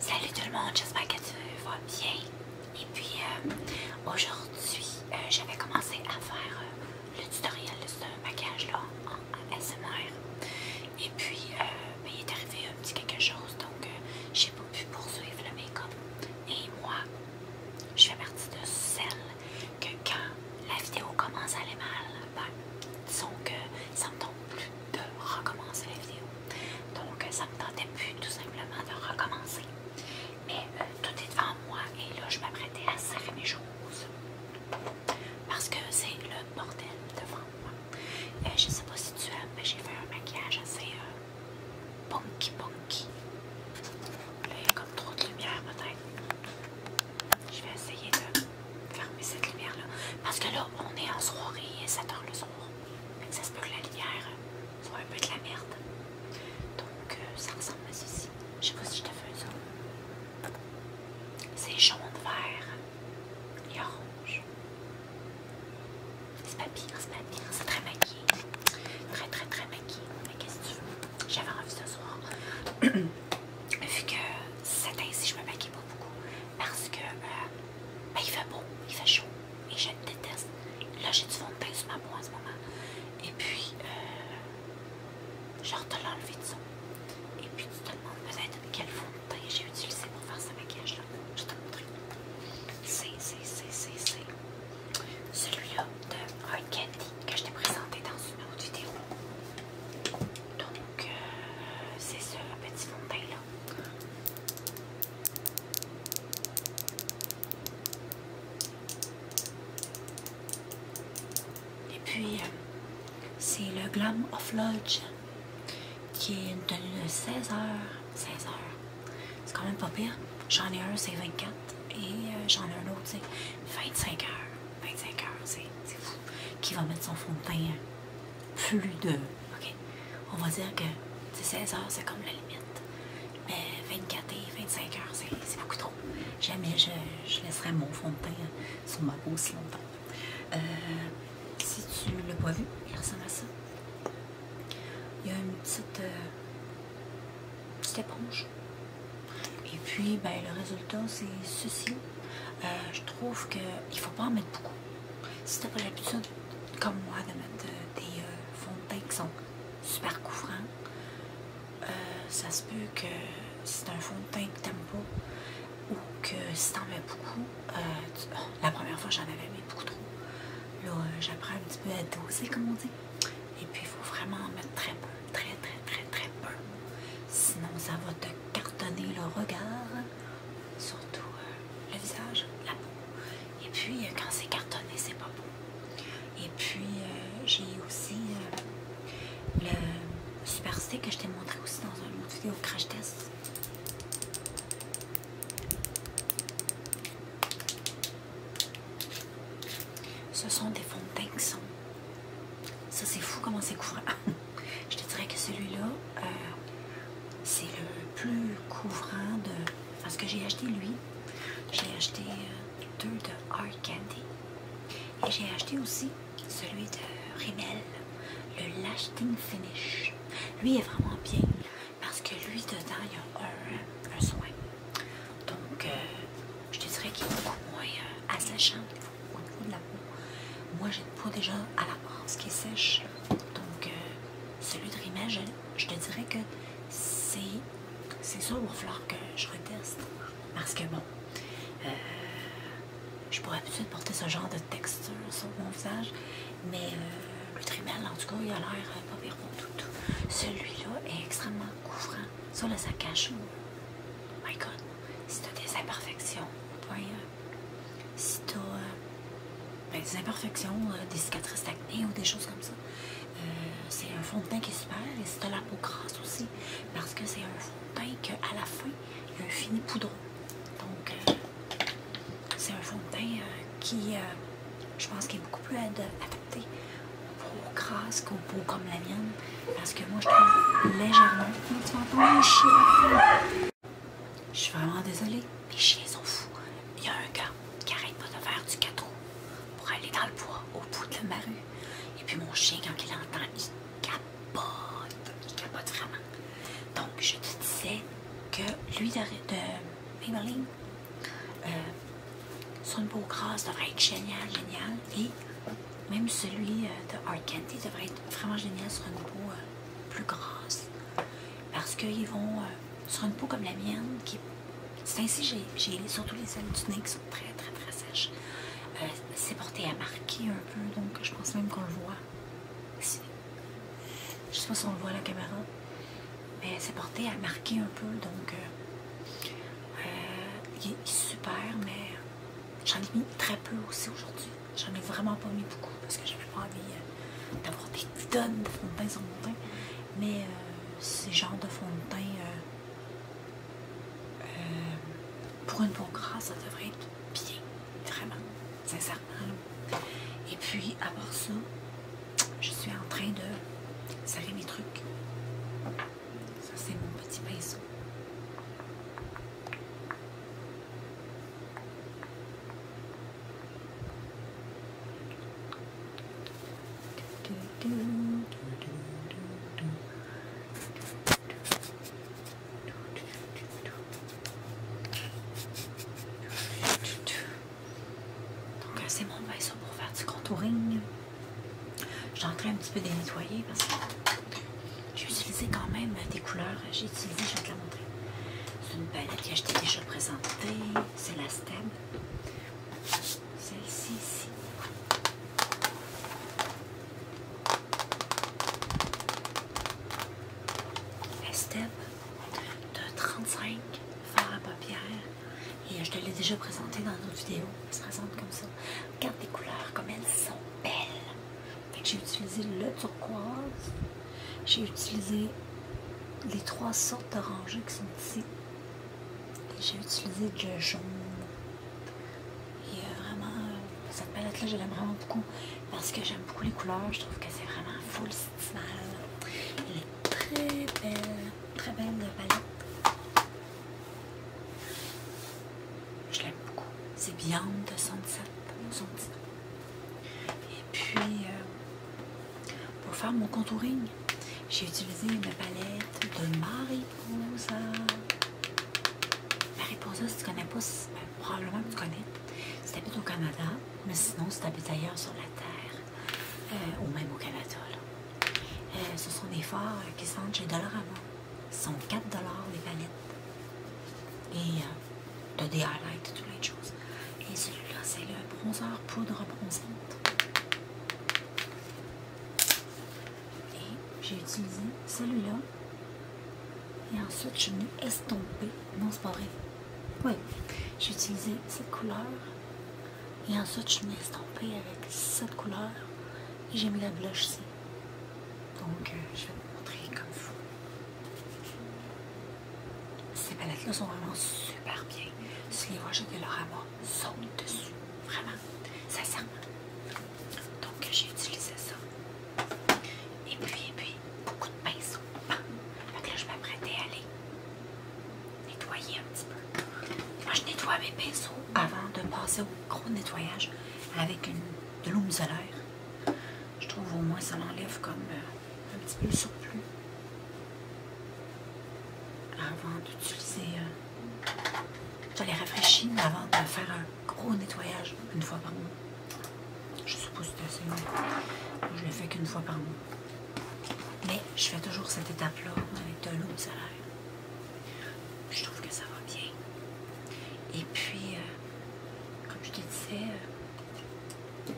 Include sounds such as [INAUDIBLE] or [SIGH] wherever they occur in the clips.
Salut tout le monde, j'espère que tu vas bien. Et puis euh, aujourd'hui, euh, j'avais commencé à faire euh, le tutoriel de ce maquillage-là en ASMR. Et puis, ben, il est arrivé un petit quelque chose, donc j'ai pas pu poursuivre le make-up. Et moi, je fais partie de celles que quand la vidéo commence à aller mal, ben, disons que ça me tombe plus de recommencer la vidéo. Donc ça me tentait plus tout simplement de recommencer. Mais euh, tout est devant moi et là je m'apprêtais à serrer mes choses. Parce que c'est le bordel devant moi. Je euh, je sais pas si tu aimes, mais j'ai fait un maquillage assez... Euh, Ponky Ponky. Là, il y a comme trop de lumière, peut-être. Je vais essayer de fermer cette lumière-là. Parce que là, on est en soirée et ça dort le son Mais ça se peut que la lumière soit un peu de la merde. Donc, euh, ça ressemble à ceci. Je sais pas si je te fais ça. C'est jaune, vert et orange. C'est pas pire, c'est pas pire, c'est très maquillé. Très très très maquillé. Mais qu'est-ce que tu veux? J'avais envie ce soir. [CLEARS THROAT] Vu que cet ici je me maquillais pas beaucoup. Parce que euh, ben, il fait beau, il fait chaud. Et je le déteste. Là, j'ai du fond de teint sur ma peau en ce moment. Et puis, genre, euh, te l'enlever de ça. Et puis, tu te demandes peut-être quel fond de teint j'ai utilisé pour faire ce maquillage-là je te montrer. C'est, c'est, c'est, c'est, c'est celui-là de Hard Candy que je t'ai présenté dans une autre vidéo. Donc, euh, c'est ce petit fond là. Et puis, euh, c'est le Glam of Lodge qui est de 16h. 16h. C'est quand même pas pire. J'en ai un, c'est 24. Et euh, j'en ai un autre, c'est 25 heures. 25 heures, c'est fou. Qui va mettre son fond de teint hein? plus de. On va dire que 16 heures, c'est comme la limite. Mais 24 et 25 heures, c'est beaucoup trop. Jamais je, je laisserai mon fond de teint hein, sur ma peau si longtemps. Euh, si tu ne l'as pas vu, il ressemble à ça il y a une petite, euh, éponge. Et puis, ben, le résultat, c'est ceci. Euh, je trouve qu'il ne faut pas en mettre beaucoup. Si tu n'as pas l'habitude, comme moi, de mettre euh, des euh, de teint qui sont super couvrants, ça se peut que si un fond de teint que tu n'aimes pas, ou que si tu en mets beaucoup, oh, la première fois, j'en avais mis beaucoup trop. Là, euh, j'apprends un petit peu à doser, comme on dit. Et puis, il faut vraiment en mettre très peu, très, très, très, très peu. Sinon, ça va te cartonner le regard, surtout euh, le visage, la peau. Et puis, euh, quand c'est cartonné, c'est pas beau. Et puis, j'ai aussi le Super stick que je t'ai montré aussi dans une autre vidéo crash test. Ce sont des fonds Ça, c'est fou comment c'est couvrant, [LAUGHS] Je te dirais que celui-là, euh, c'est le plus couvrant de. Parce que j'ai acheté lui. J'ai acheté euh, deux de Hard Candy. Et j'ai acheté aussi celui de Rimmel, le Lasting Finish. Lui est vraiment bien parce que lui, dedans, il y a un, soin. Donc, euh, je te dirais qu'il est beaucoup moins sa euh, asséchant au niveau de la peau. Moi, j'ai une peau déjà à la base qui est sèche. Donc, euh, celui de Rimmel, je, te dirais que c'est ça il fleur que je reteste. Parce que, bon, je suis pas habituée de porter ce genre de texture sur mon visage. Mais euh, le trimel, en tout cas, il a l'air euh, pas bien bon tout. Celui-là est extrêmement couvrant. Ça, là, ça cache. Oh my god. Si t'as des imperfections, si t'as euh, ben, des imperfections, des cicatrices d'acné ou des choses comme ça, c'est un fond de teint qui est super. Et si t'as la peau grasse aussi, parce que c'est un fond de teint qu'à la fin, il a un fini poudreux. Donc, c'est un fond de teint qui, euh, je pense, est beaucoup plus adapté aux grasses qu'aux peaux comme la mienne. Parce que moi, je trouve légèrement. Tu mon Je suis vraiment désolée. Mes chiens sont fous. Il y a un gars qui arrête pas de faire du quatre pour aller dans le bois, au bout de la marue Et puis mon chien, quand il entend, il capote. Il capote vraiment. Donc, je te disais que lui de, de euh, sur une peau grasse ça devrait être génial, génial. Et même celui euh, de Arcanti, devrait être vraiment génial sur une peau euh, plus grasse. Parce qu'ils vont sur une peau comme la mienne, qui c'est ainsi j'ai surtout les ailes du nez qui sont très très très sèches. c'est porté à marquer un peu, donc je pense même qu'on le voit. Ici. Je sais pas si on le voit à la caméra mais c'est porté à marquer un peu, donc euh, euh, il est super, mais j'en ai mis très peu aussi aujourd'hui. J'en ai vraiment pas mis beaucoup parce que j'avais pas envie euh, d'avoir des tonnes de fond de teint sur mon teint, mais ces genre de fond de teint pour une peau grasse, ça devrait être bien, vraiment, sincèrement. Et puis, à part ça, je suis en train de saler mes trucs. Ça, c'est mon petit pinceau. Donc euh, c'est mon vaisseau pour faire du contouring. J'en un petit peu de nettoyer parce que j'ai utilisé quand même des couleurs. J'ai utilisé, je vais te la montrer. C'est une palette que je déjà présentée. C'est la STEB. Celle-ci ici. La de 35 fards à paupières. Et je te l'ai déjà présenté dans d'autres vidéos. Elle se présente comme ça. Regarde les couleurs, comme elles sont belles. J'ai utilisé le turquoise. J'ai utilisé les trois sortes d'orangées qui sont ici. j'ai utilisé du jaune. Et euh, vraiment, euh, cette palette-là, je l'aime vraiment beaucoup parce que j'aime beaucoup les couleurs. Je trouve que c'est vraiment full mal. Elle est très belle très belle palette. Je l'aime beaucoup. C'est de son ça. Et puis, euh, pour faire mon contouring, j'ai utilisé une palette de Mariposa. Mariposa, si tu connais pas, ben, probablement que tu connais. Si tu habites au Canada, mais sinon, si tu habites ailleurs sur la Terre, ou euh, même au Canada. Euh, ce sont des phares qui sont j'ai chez Dollarama. Ce sont 4 les palettes. Et le euh, D highlight tout tout toutes les choses. Et celui-là, c'est le bronzer poudre bronzante. Et j'ai utilisé celui-là. Et ensuite, je suis estompée. Non, c'est pas vrai. Oui, j'ai utilisé cette couleur et ensuite, je suis estompée avec cette couleur. Et j'ai mis la blush ici. Donc, euh, je vais vous montrer comme vous. Ces palettes-là sont vraiment super bien. Si les voix de Lorama sautent dessus. Vraiment. Ça sent Donc, j'ai utilisé ça. Et puis, et puis, beaucoup de pinceaux. Donc là, je m'apprêtais à aller nettoyer un petit peu. Moi, je nettoie mes pinceaux avant de passer au gros nettoyage avec une, de l'eau muselaire. Je trouve au moins ça l'enlève comme euh, un petit peu le surplus avant d'utiliser. Euh, les rafraîchis avant de faire un gros nettoyage une fois par mois. Je suppose que c'est assez Je le fais qu'une fois par mois. Mais je fais toujours cette étape-là avec de l'eau, de ça. Je trouve que ça va bien. Et puis, euh, comme je te disais, euh,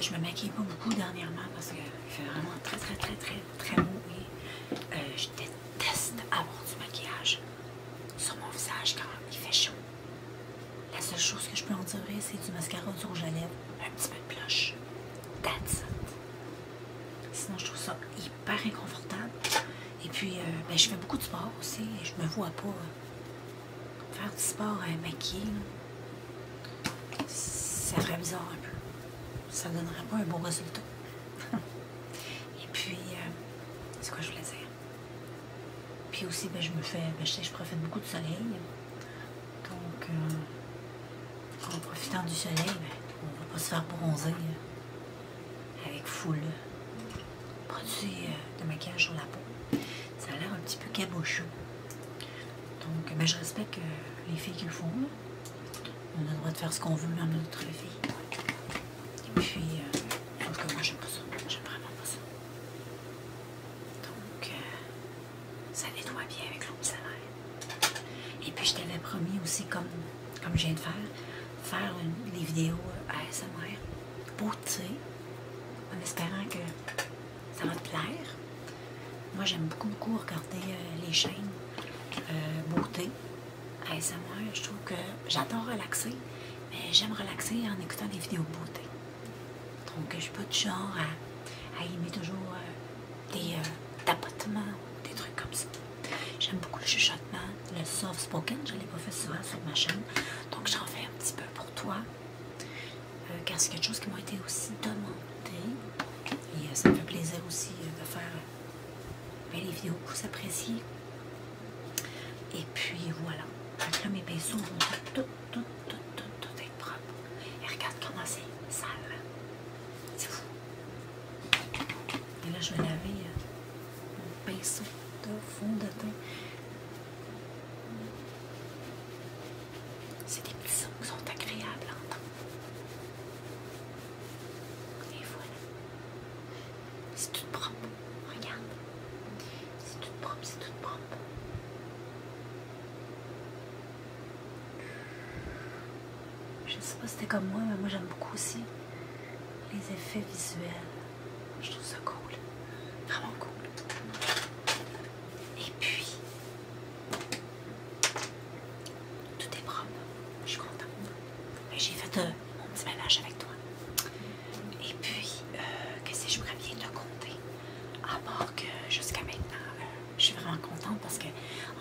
je me maquille pas beaucoup dernièrement parce qu'il fait vraiment très, très, très, très, très beau. Et euh, je déteste avoir du maquillage sur mon visage quand il fait chaud. La seule chose que je peux en endurer, c'est du mascara, du rouge à un petit peu de blush. That's it. Sinon, je trouve ça hyper inconfortable. Et puis, euh, ben, je fais beaucoup de sport aussi. Et je me vois pas euh, faire du sport à euh, maquiller. Ça ferait bizarre un peu. Ça ne donnerait pas un bon résultat. [LAUGHS] et puis, c'est quoi je voulais dire? Puis aussi, ben, je me fais, ben, je sais, je profite beaucoup du soleil. Donc, euh, en profitant du soleil, ben, on va pas se faire bronzer euh, avec foule. Produit euh, de maquillage sur la peau. Ça a l'air un petit peu cabochou. Donc, ben, je respecte les filles qui le font. On a le droit de faire ce qu'on veut, dans hein, notre vie. Et puis, en tout cas, moi, j'aime pas ça. J'aime vraiment pas ça. Donc, ça nettoie bien avec l'autre salaire. Et puis je t'avais promis aussi, comme, comme je viens de faire, faire les vidéos ASMR beauté, en espérant que ça va te plaire. Moi j'aime beaucoup beaucoup regarder euh, les chaînes euh, beauté, ASMR. Je trouve que j'adore relaxer, mais j'aime relaxer en écoutant des vidéos beauté. Donc je suis pas du genre à, aimer toujours euh, des euh, tapotements, des trucs comme ça. J'aime beaucoup le chuchotement, le soft spoken, je ne l'ai pas fait souvent sur ma chaîne, donc j'en fais un petit peu pour toi, euh, car c'est quelque chose qui m'a été aussi demandé, et euh, ça me fait plaisir aussi de faire des ben, les vidéos que vous appréciez. Et puis voilà, donc là mes pinceaux vont tout, tout, tout, tout, tout et regarde comment c'est sale. C'est fou. Et là, je vais laver euh, mon pinceau de fond de teint. C'est des pinceaux, qui sont agréables à entendre. Et voilà. C'est tout propre. Regarde. C'est tout propre, c'est tout propre. Je ne sais pas si c'était comme moi, mais moi j'aime beaucoup aussi les effets visuels. Je trouve ça cool. Vraiment cool. Et puis, tout est propre. Je suis contente. Ben, j'ai fait euh, mon petit ménage avec toi. Et puis, euh, qu'est-ce que je pourrais bien te compter? À part que jusqu'à maintenant, euh, je suis vraiment contente parce que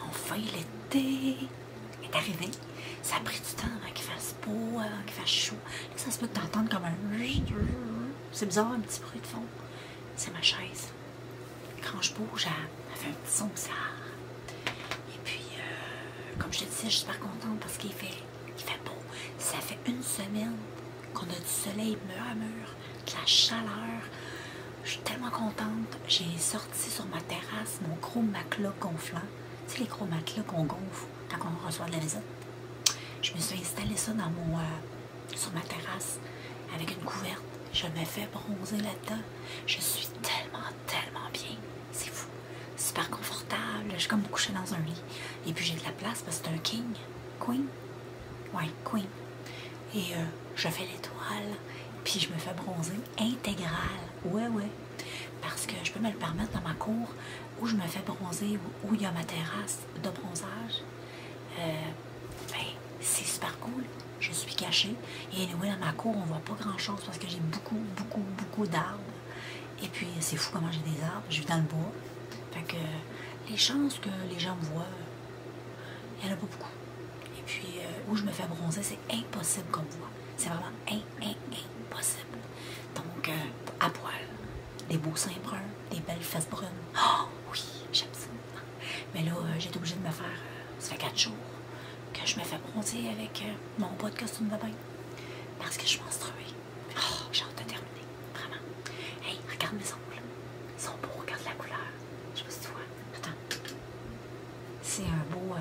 enfin l'été est arrivé. Ça a pris du temps avant qu'il fasse beau, avant qu'il fasse chaud. Là, ça se peut que comme un... [LAUGHS] C'est bizarre, un petit bruit de fond. C'est ma chaise. Quand je bouge, elle, fait un petit son bizarre. Et puis, euh, comme je te disais, je suis super contente parce qu'il fait, fait beau. Ça fait une semaine qu'on a du soleil mur à mur de la chaleur. Je suis tellement contente. J'ai sorti sur ma terrasse mon gros matelas gonflant. Tu sais, les gros matelas qu'on gonfle quand on reçoit de la visite. Je me suis installée ça dans euh, sur ma terrasse avec une couverte. Je me fais bronzer là-dedans. Je suis tellement, tellement bien. C'est fou. Super confortable. Je suis comme couchée dans un lit. Et puis j'ai de la place parce que c'est un king. Queen. Ouais, queen. Et euh, je fais l'étoile, puis je me fais bronzer intégrale. Ouais, ouais. Parce que je peux me le permettre dans ma cour où je me fais bronzer, où il y a ma terrasse de bronzage. Euh, ben, c'est super cool. Je suis cachée. Et oui, dans ma cour, on voit pas grand-chose parce que j'ai beaucoup, beaucoup, beaucoup d'arbres. Et puis, c'est fou comment j'ai des arbres. Je vis dans le bois. Fait que les chances que les gens me voient il y en a pas beaucoup. Et puis, euh, où je me fais bronzer, c'est impossible comme moi. C'est vraiment impossible. Donc, euh, à poil, des beaux seins bruns, des belles fesses brunes. Oh oui, j'aime ça. Mais là, euh, j'ai été obligée de me faire. ça fait quatre jours que je me fais bronzer avec mon bois de costume de bain. Parce que je suis menstruée. Oh, j'ai hâte de terminer. Vraiment. Hey, regarde mes ongles. Ils sont beaux, regarde la couleur. Je sais pas si tu vois. Attends. C'est un beau. Euh,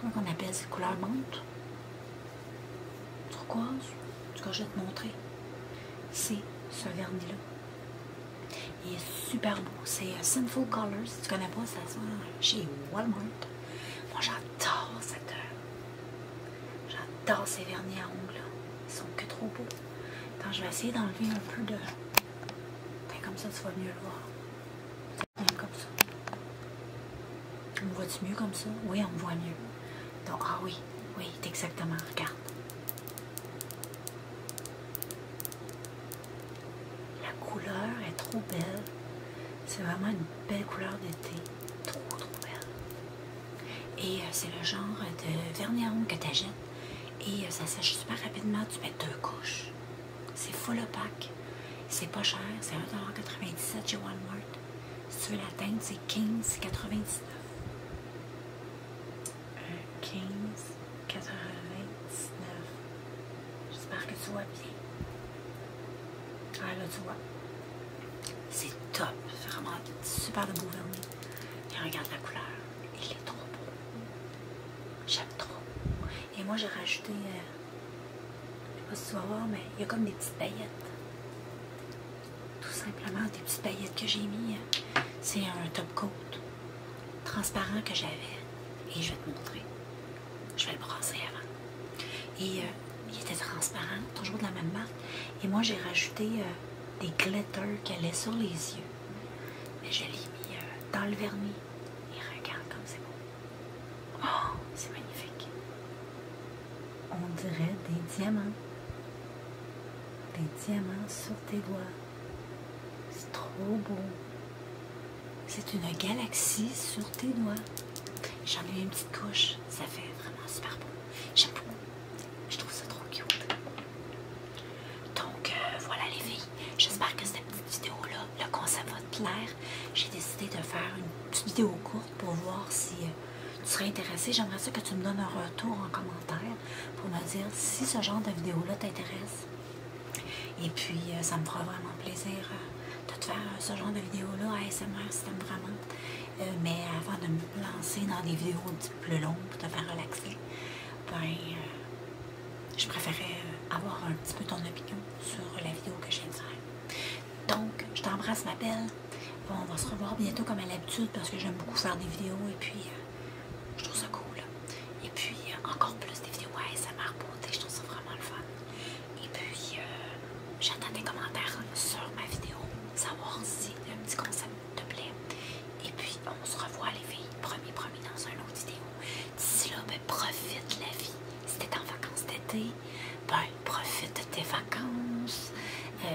comment on appelle ces couleurs menthe? Turquoise? Tu que je vais te montrer. C'est ce vernis-là. Il est super beau. C'est euh, Sinful Colors. Si tu connais pas, ça voit chez Walmart. Moi, j'adore cette. heure. j'adore ces vernis à ongles. Ils sont que trop beaux. Attends, je vais essayer d'enlever un peu de comme ça, tu vas mieux le voir. comme ça. On me voit mieux comme ça? Oui, on me voit mieux. Donc, ah oui, oui, exactement, regarde. La couleur est trop belle. C'est vraiment une belle couleur d'été. Trop, trop belle. Et euh, c'est le genre de vernis à que tu Et euh, ça sèche super rapidement. Tu mets deux couches. C'est full opaque. C'est pas cher, c'est 1,97$ chez Walmart. Si tu veux la teinte, c'est 15,99$. 15,99$. J'espère que tu vois bien. Ah là, tu vois. C'est top. C'est vraiment super de beau vernis. Et regarde la couleur il est trop beau. J'aime trop. Et moi j'ai rajouté, euh, Je ne sais pas si tu vas voir, mais il y a comme des petites paillettes. Tout simplement des petites paillettes que j'ai mis. Hein. C'est un top coat transparent que j'avais. Et je vais te montrer. Je vais le brasser avant. Et euh, il était transparent, toujours de la même marque. Et moi j'ai rajouté euh, des glitters qu'elle est sur les yeux. Mais je l'ai mis euh, dans le vernis. Et regarde comme c'est beau. Oh, c'est magnifique. On dirait des diamants. Des diamants sur tes doigts. C'est trop beau. C'est une galaxie sur tes doigts. J'en ai une petite couche. Ça fait vraiment super beau. J'aime Je trouve ça trop cute. Donc euh, voilà les filles, j'espère que cette petite vidéo-là, le concept va te plaire. J'ai décidé de faire une petite vidéo courte pour voir si euh, tu serais intéressé. J'aimerais ça que tu me donnes un retour en commentaire pour me dire si ce genre de vidéo-là t'intéresse. Et puis euh, ça me fera vraiment plaisir de te faire ce genre de vidéo-là à ASMR si t'aimes vraiment. mais avant de me lancer dans des vidéos un petit peu plus longues pour te faire relaxer, ben, euh, je préférais euh, avoir un petit peu ton opinion sur la vidéo que je faire. Donc, je t'embrasse, ma belle. Bon, on va se revoir bientôt comme à l'habitude parce que j'aime beaucoup faire des vidéos et puis euh, je trouve ça cool. Et puis, encore plus des vidéos ASMR beauté, je trouve ça vraiment le fun. Et puis, j'attends tes commentaires sur ma vidéo, savoir si un petit concept te plaît. Et puis, on se revoit les filles, premier premier dans un autre vidéo. D'ici là, ben, profite la vie. Si t'es en vacances d'été, ben, profite de tes vacances. Euh,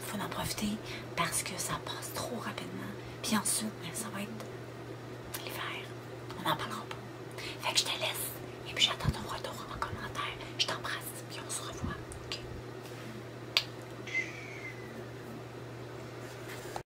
faut en profiter parce que ça passe trop rapidement. Puis ensuite, ben, ça va être l'hiver. On n'en parlera pas. Fait que je te laisse et puis j'attends ton retour en commentaire. Je t'embrasse puis on se revoit. OK?